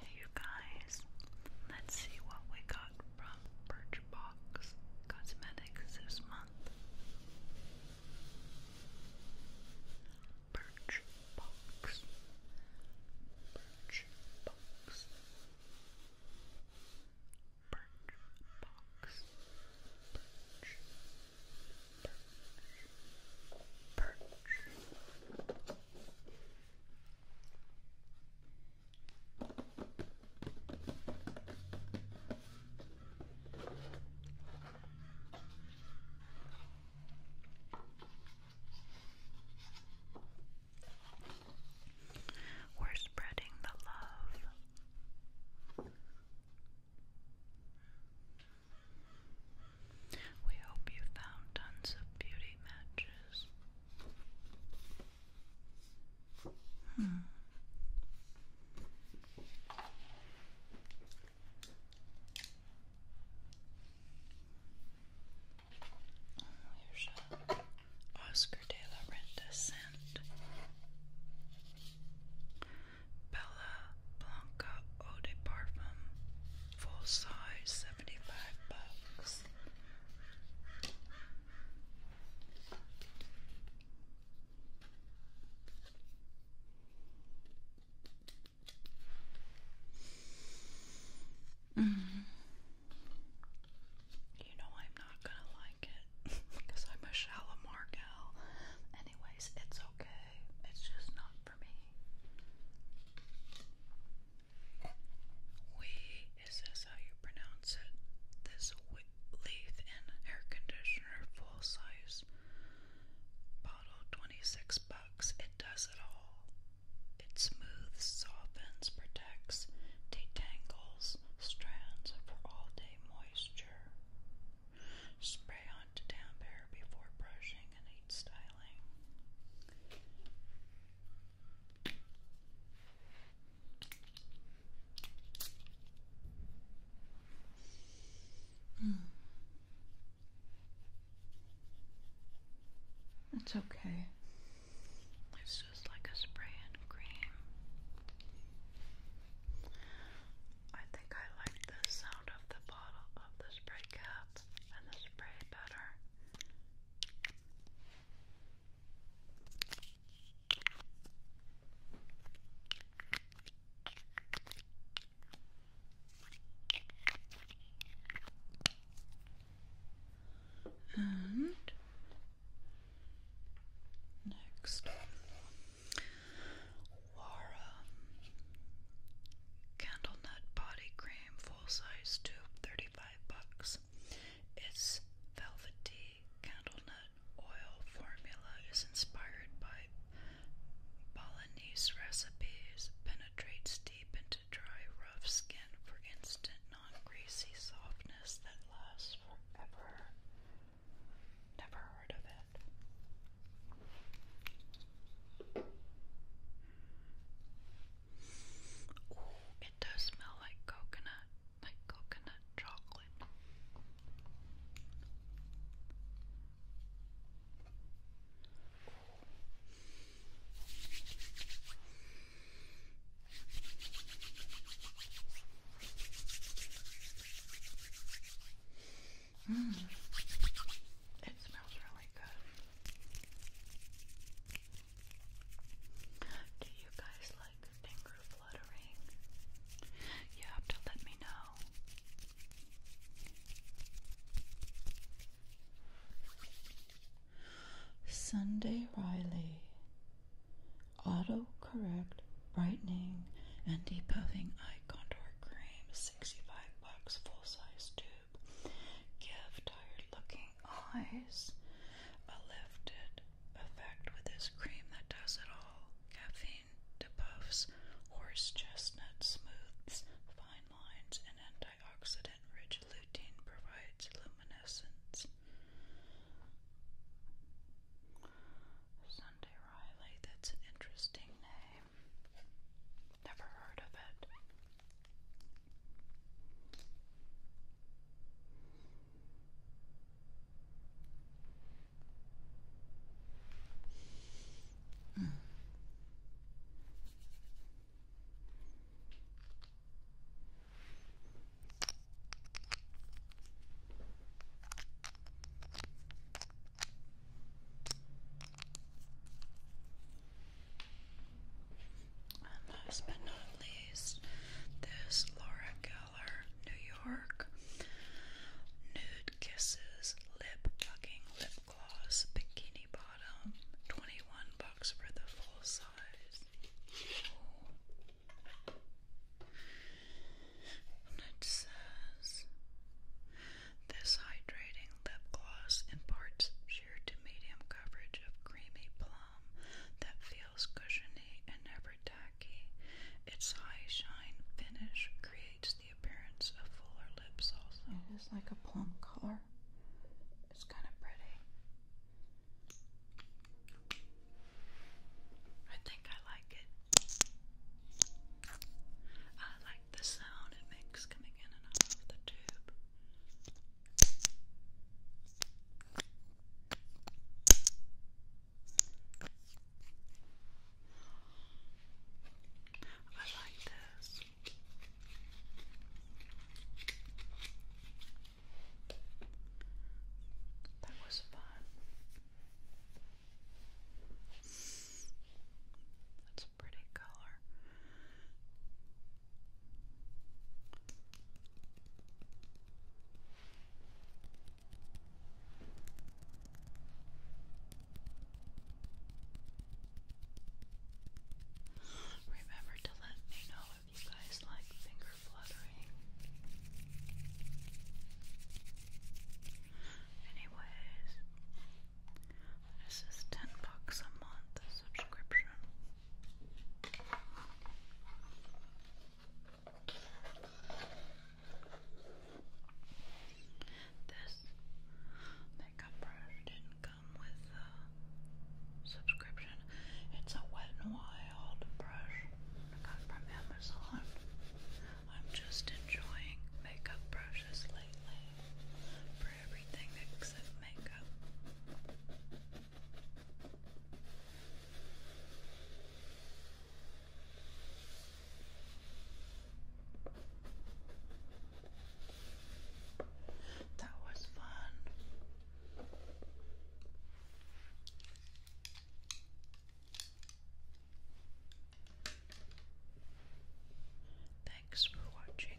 Hey you guys, let's see what we got from Birchbox Cosmetics this month. Birchbox. Birchbox. Birchbox. Birchbox perch, we're spreading the love. We hope you found tons of beauty matches. Hmm. Oscar de la Renta scent. Bella Blanca Eau Parfum, full size, 75 bucks. Mm-hmm. You know I'm not gonna lie because I'm a shallow Anyways, it's okay. It's just not for me. We is this how you pronounce it? This leaf in air conditioner full size bottle, twenty six bucks. It does it all. It smooths, softens, protects, detangles strands for all day moisture moisture. Spray onto damp hair before brushing and heat styling. Mm. okay this like a spray and cream. I think I like the sound of the bottle of the spray cap and the spray better. And Next, Wara Candle Nut Body Cream Full Size Tube, 35 bucks. Its velvety candle nut oil formula is inspired by Balinese recipes, penetrates deep into dry, rough skin for instant non-greasy softness that lasts forever. Never heard of it. it does smell like coconut, like coconut chocolate. Mm. It smells really good. Do you guys like finger fluttering? You have to let me know. Sunday Riley Auto correct Brightening and deep puffing Eye Contour Cream 65 bucks full size tube. Give tired looking eyes a lifted effect with this cream that does it all. Caffeine depuffs, horse chestnut smooths, fine lines, and antioxidant rich lutein provides luminescence. Sunday Riley, that's an interesting name. Never heard of it. And last but not least, this Laura Geller New York Nude Kisses Lip Fucking Lip Gloss Bikini Bottom, 21 bucks for the full size. it says this hydrating lip gloss imparts sheer to medium coverage of creamy plum that feels cushiony and never tacky. Its high shine finish creates it is like a plum color. It's kind of pretty. I think I like it. I like the sound it makes coming in and out of the tube. I like this. That was fun. That's a pretty color. Remember to let me know if you guys like finger fluttering. Anyways, this is 10 bucks a month subscription. This makeup brush didn't come with a subscription. It's a Wet n Wild brush I got from Amazon. I'm just enjoying makeup brushes lately for everything except makeup. That was fun. Thanks for watching.